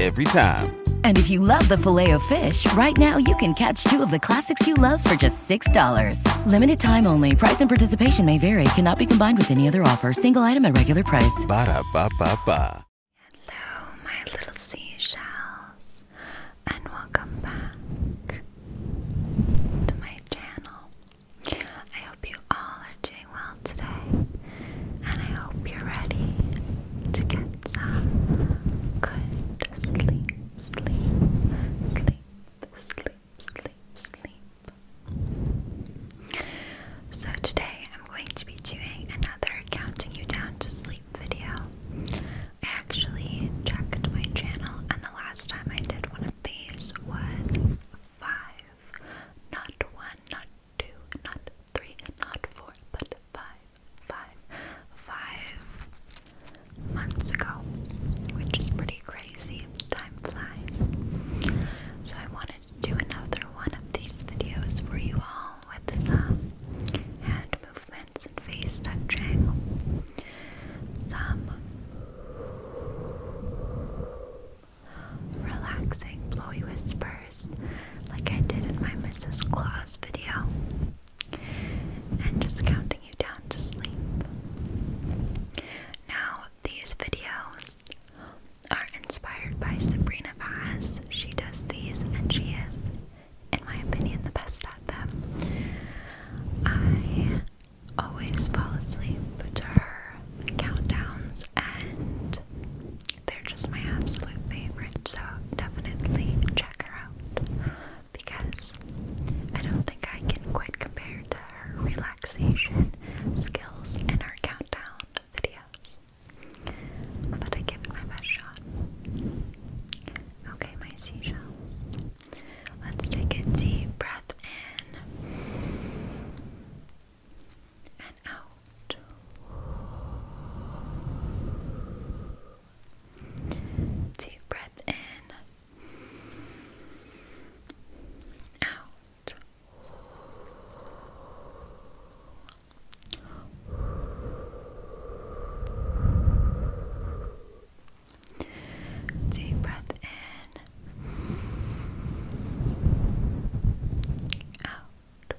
every time. And if you love the filet of fish, right now you can catch two of the classics you love for just $6. Limited time only. Price and participation may vary. Cannot be combined with any other offer. Single item at regular price. Ba da ba ba ba. Hello, my little seashells, and welcome back to my channel. I hope you all are doing well today, and I hope you're ready to get gets a good sleep, sleep, sleep, sleep, sleep, sleep. So today I'm going to be doing another counting you down to sleep video. I actually checked my channel and the last time I did one of these was five. Not one, not two, not three, not four, but five five, five months ago, which is pretty crazy. Time flies. So I wanted to do another one of these videos for you all with some hand movements and face touching, some relaxing blowy whispers like I did in my Mrs. Claus video and just counting you down to sleep. Now, these videos are inspired by Sabrina Vaz. She does these and she is, in my opinion, the best at them. I always fall asleep to her countdowns and they're just my absolute favorite, so definitely check because I don't think I can quite compare to her relaxation skills and her countdown videos. But I give it my best shot. Okay, my seashells. Let's take a deep breath in and out. Deep breath in. Out. Deep breath in. Out.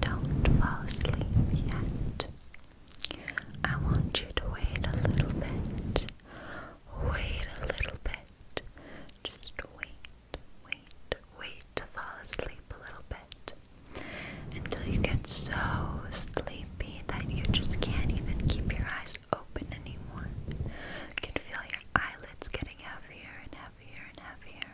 Don't fall asleep yet. I want you to wait a little bit. Wait a little bit. Just wait, wait, wait to fall asleep a little bit. Until you get so sleepy that you just can't even keep your eyes open anymore. You can feel your eyelids getting heavier and heavier and heavier.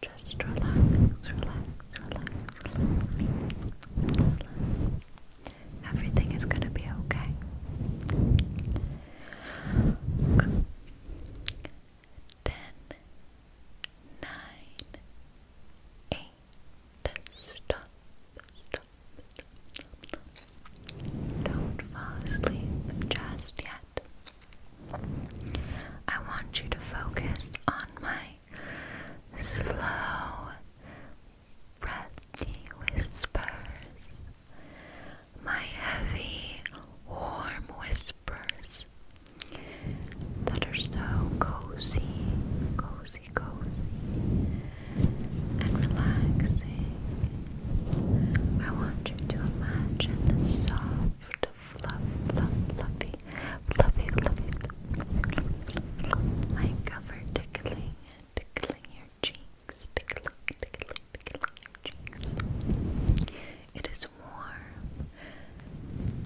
Just relax, relax, relax, Everything is gonna be okay. Ten, nine, eight. stop, stop, stop. Don't fall asleep just yet. I want you to focus on my slow, breathy whispers, my heavy, warm whispers that are so cozy, cozy, cozy, and relaxing. I want you to imagine the soft, fluff, fluff, fluffy, fluffy, fluffy, my cover tickling, tickling your cheeks, tickling, tickling, tickling your cheeks. It is warm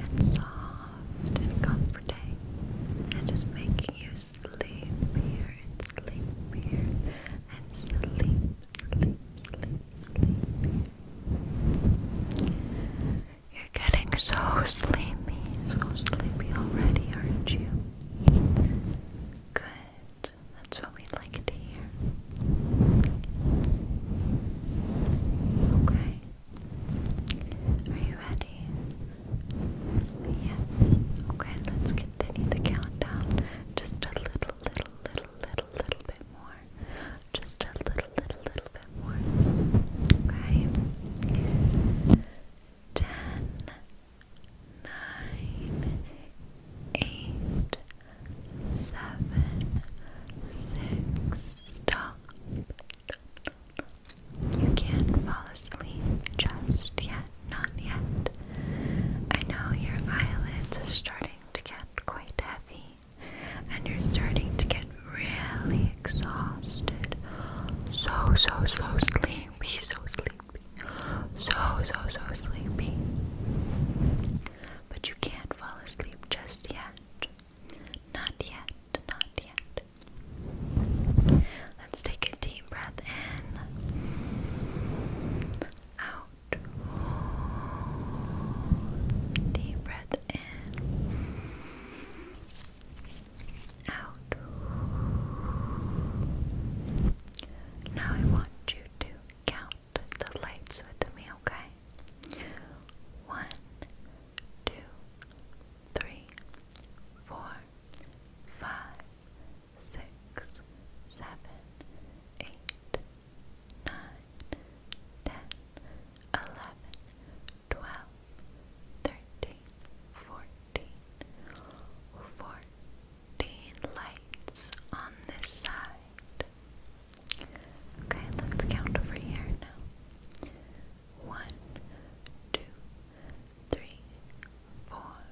and soft and comforting, and is making you sleepier and sleepier and sleep, sleep, sleep, sleepier. You're getting so sleepy, so sleepy already, aren't you? Good. That's what we like to hear. Okay. Are you ready? Yes. Okay, let's continue the countdown. Just a little, little, little, little, little bit more just a little, little, little bit more. Okay. Ten, nine, eight, seven, six. Stop. You can't fall asleep just yet, not yet. I know your eyelids are starting to get quite heavy and you're starting to get really exhausted. So, so, so sleepy, so sleepy, so, so, so sleepy. But you can't fall asleep just yet. Not yet, not yet. Let's take a deep breath in. Out. Deep breath in out. Now I want you to count the lights with me, okay? One, two, three, four, five, six, seven, eight, nine, ten, eleven, twelve, thirteen, fourteen, fourteen lights on this side. Okay, let's count over here now. One, two, three, four,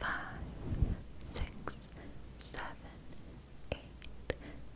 five, six, seven, eight,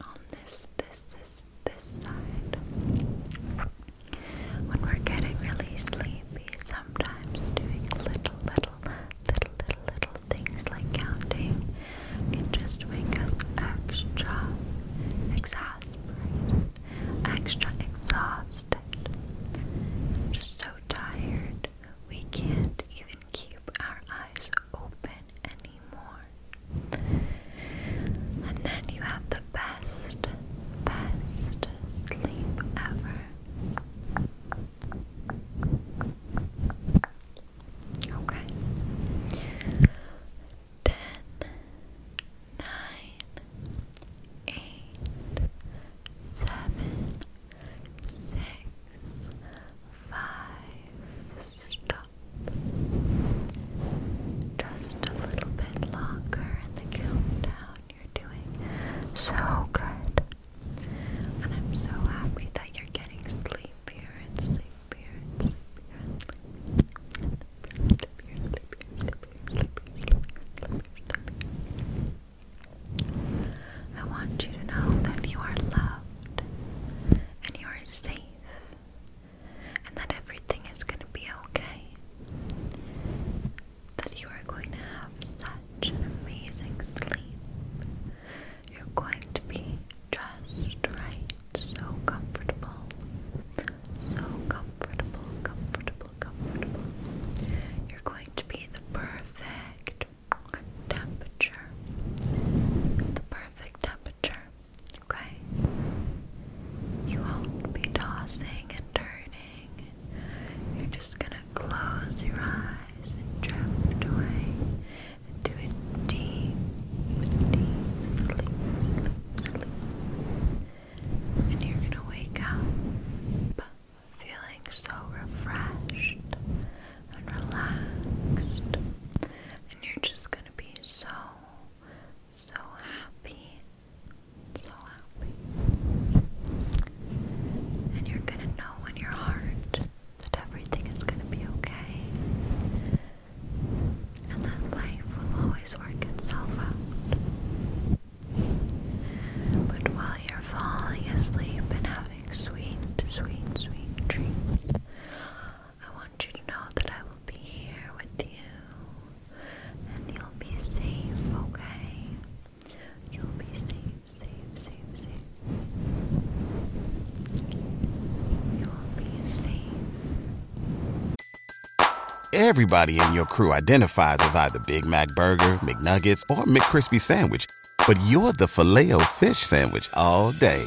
on this, this, this, this side. When we're getting really sleepy, sometimes doing little, little, little, little, little things like counting can just make us extra exasperated, extra exhausted, just so tired we can't even keep our eyes open anymore. And then you have the best, best sleep ever. Okay. Ten, nine, eight, seven, six, five, stop just a little bit longer in the countdown. You're doing so good. And I'm so happy that you're getting sleepier, and sleepier. I want you to know that you are loved and you are safe and that everything is going to be okay. That you are going to have such an amazing sleep. You're going to be just right, so comfortable, so comfortable, comfortable, comfortable. You're going to be the perfect temperature, the perfect temperature Okay? You won't be tossing and turning. You're just gonna close your eyes and drift away into a deep, deep sleep, And you're gonna wake up feeling so refreshed and relaxed. And you're just gonna be so so happy, so happy. And you're gonna know in your heart that everything is gonna be okay, and that life will always work itself out. But while you're falling asleep and having sweet, sweet, sweet dreams, I want you to know that I will be here with you and you'll be safe, okay? You'll be safe, safe, safe, safe. You'll be safe. Everybody in your crew identifies as either Big Mac Burger, McNuggets, or McCrispy Sandwich, but you're the Filet-O-Fish Sandwich all day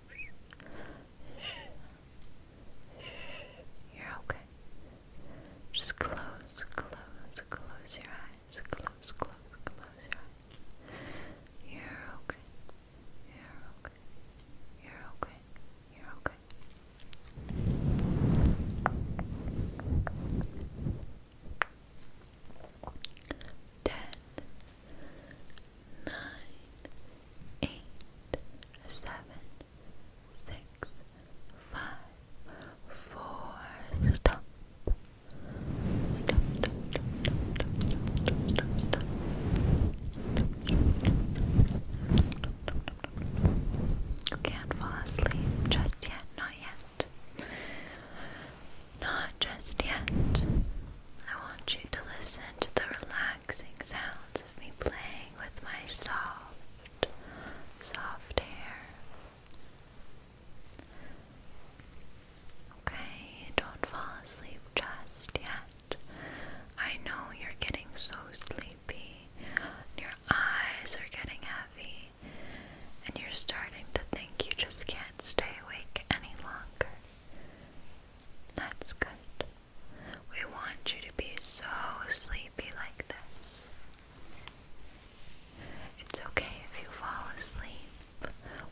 You're okay. Just close, close, close your eyes. Close, close, close your eyes. You're okay. You're okay. You're okay. You're okay. Ten, nine, eight, seven, six, five, four, stop. Stop, stop, stop, stop, stop, stop, stop, stop. You can't fall asleep just yet, not yet. Not just yet. I want you to listen to the relaxing sounds of me playing with my soft, soft hair. Okay, don't fall asleep just yet. I know you're getting so sleepy, your eyes are getting heavy, and you're starting to think you just can't stay awake any longer. That's good. We want you to be so sleepy like this. It's okay if you fall asleep.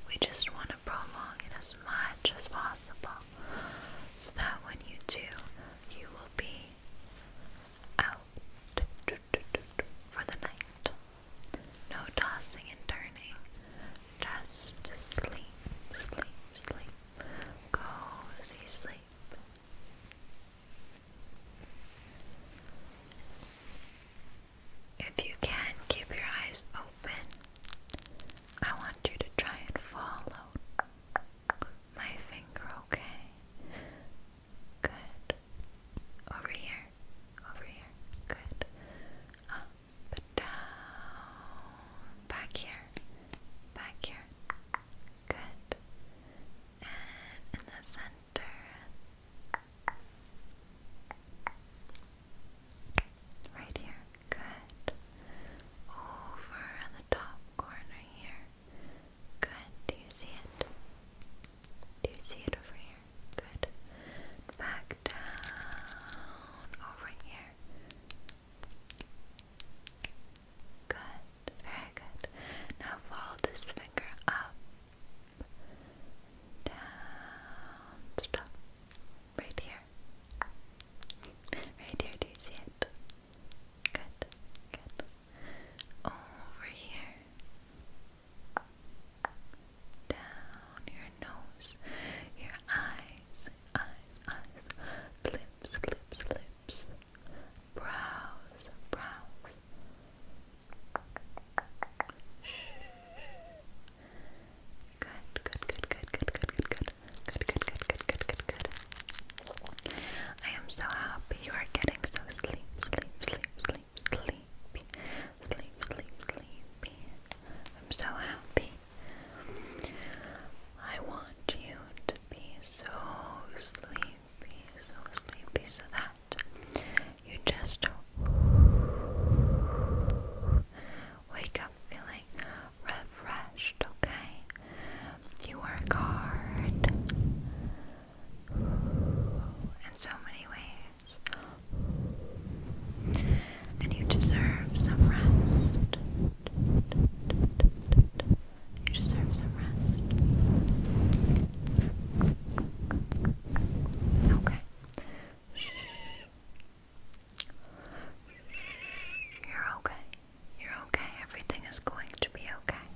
We just want to prolong it as much as possible so that when you do, you will be out for the night. No tossing and turning, just sleep, sleep, sleep. Cozy sleep. If you can keep your eyes open, I want you to try and follow my finger, okay? Good. Over here. Over here. Good. Up. Um, but down, back here, back here, good, and in the center, right here, good, over on the top corner here, good, do you see it? Do you see it over here? Good. Back down over here. Good, very good. Now follow this finger up, down, Right here. Right here, do you see it? Good, good. Over here. Down your nose, your eye, eyes, eyes, eyes, lips, lips, lips, brows, brows. Good, good, good, good, good, good, good, good, good, good, good, good, good, good. I am so happy you are getting so sleep, sleep, sleep, sleep, sleepy, sleep, sleepy. I'm so happy. I want you to be so sleepy, so sleepy, so that you just wake up feeling refreshed, okay? You work hard in so many ways and you deserve some rest. You deserve some rest. Okay. You're okay. You're okay. Everything is going to be okay.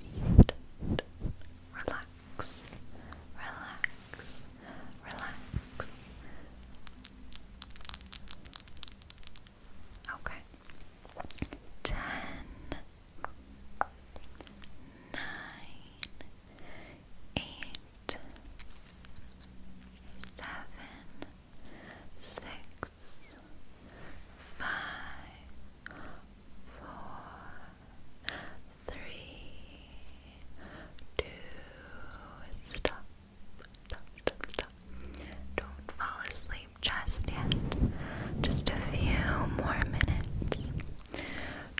Just relax. Relax relax. Okay. Ten, nine, eight, seven, six, five, four, three, two, stop. Don't fall asleep just yet. Just a few more minutes.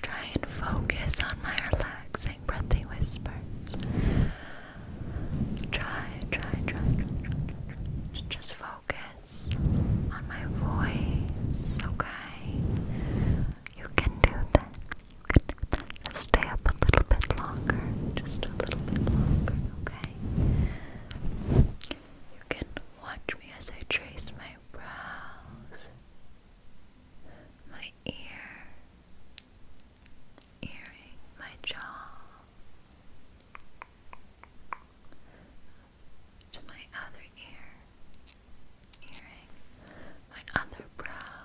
Try and focus on my relaxing breathing whispers. Try, try, try, Just focus on my voice, okay? You can do that. You can stay up a little bit longer, just a little bit longer, okay? You can watch me as I trace my brows, my ear, earring, my jaw, to my other ear, earring, my other brow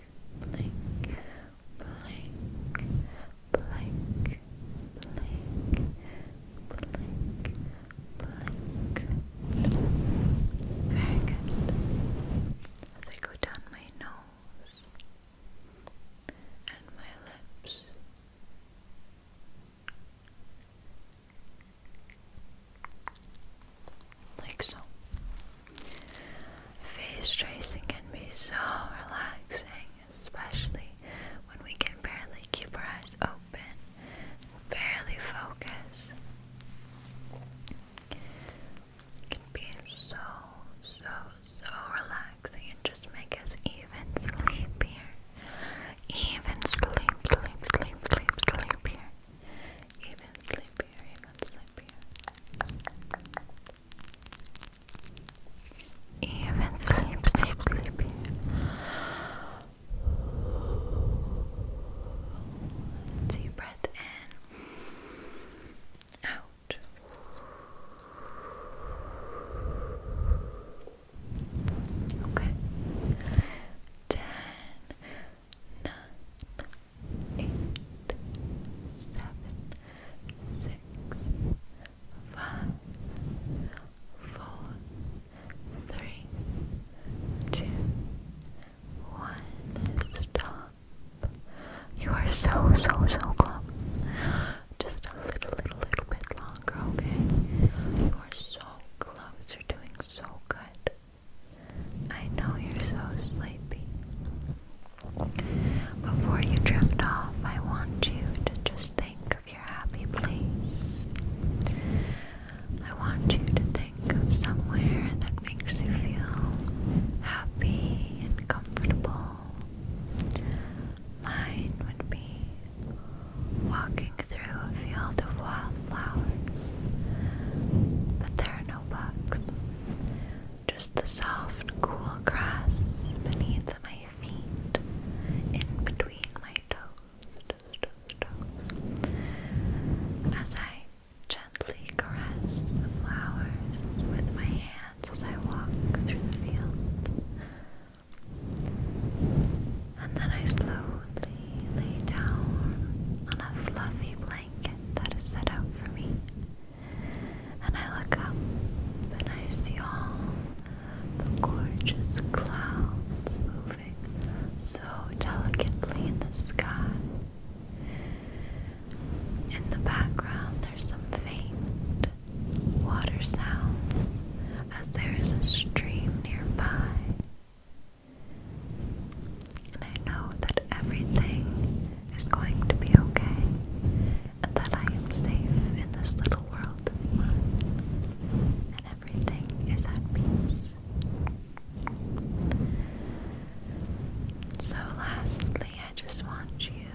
blink, blink, blink, blink, blink, blink. Very good. As I go down my nose and my lips. Like so. Face tracing can be so relaxing, especially when we can barely keep our eyes open barely focus. can be so, so, so relaxing and just make us even sleepier. Even sleep, sleep, sleepier. Even sleepier, even sleepier. Even sleep, sleep, sleep. Deep breath in, out. Okay. Ten, nine, eight, seven, six, five, four, three, two, one. Stop. You are so, so, so close. Just a little, little, little bit longer, okay? You are so close. You're doing so good. I know you're so sleepy. Before you drift off, I want you to just think of your happy place. I want you to think of somewhere that makes you feel happy and comfortable. Mine would be walking through a field of wildflowers, but there are no bugs just the soft, cool grass beneath my feet, in between my toes, as I gently caress the flowers with my hands as I walk through the field. And then I slowly lay down on a fluffy blanket that is set out for me. And I look up and I see all the gorgeous clouds moving so delicately in the sky. In the background, there's some faint water sounds as there is a stream nearby. And I know that everything is going to be okay and that I am safe in this little world and everything is at peace. So, lastly, I just want you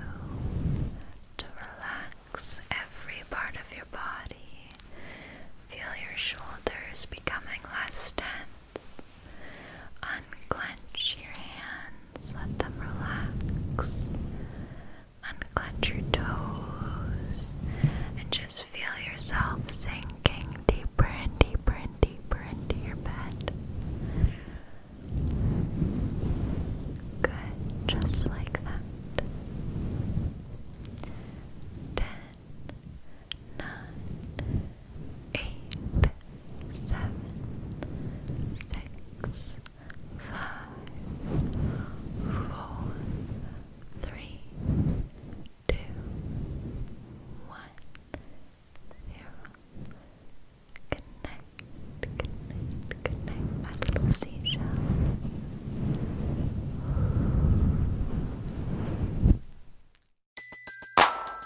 to relax every part of your body. Feel your shoulders becoming less tense. Unclench your hands let them relax. Unclench your toes and just feel yourself sinking deeper and deeper and deeper into your bed. Good, just like that. Ten, nine, eight, seven, six, five, four, three, two, one, zero. Good night, good night, good night, my little seashell.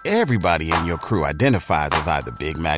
Everybody in your crew identifies as either Big Mac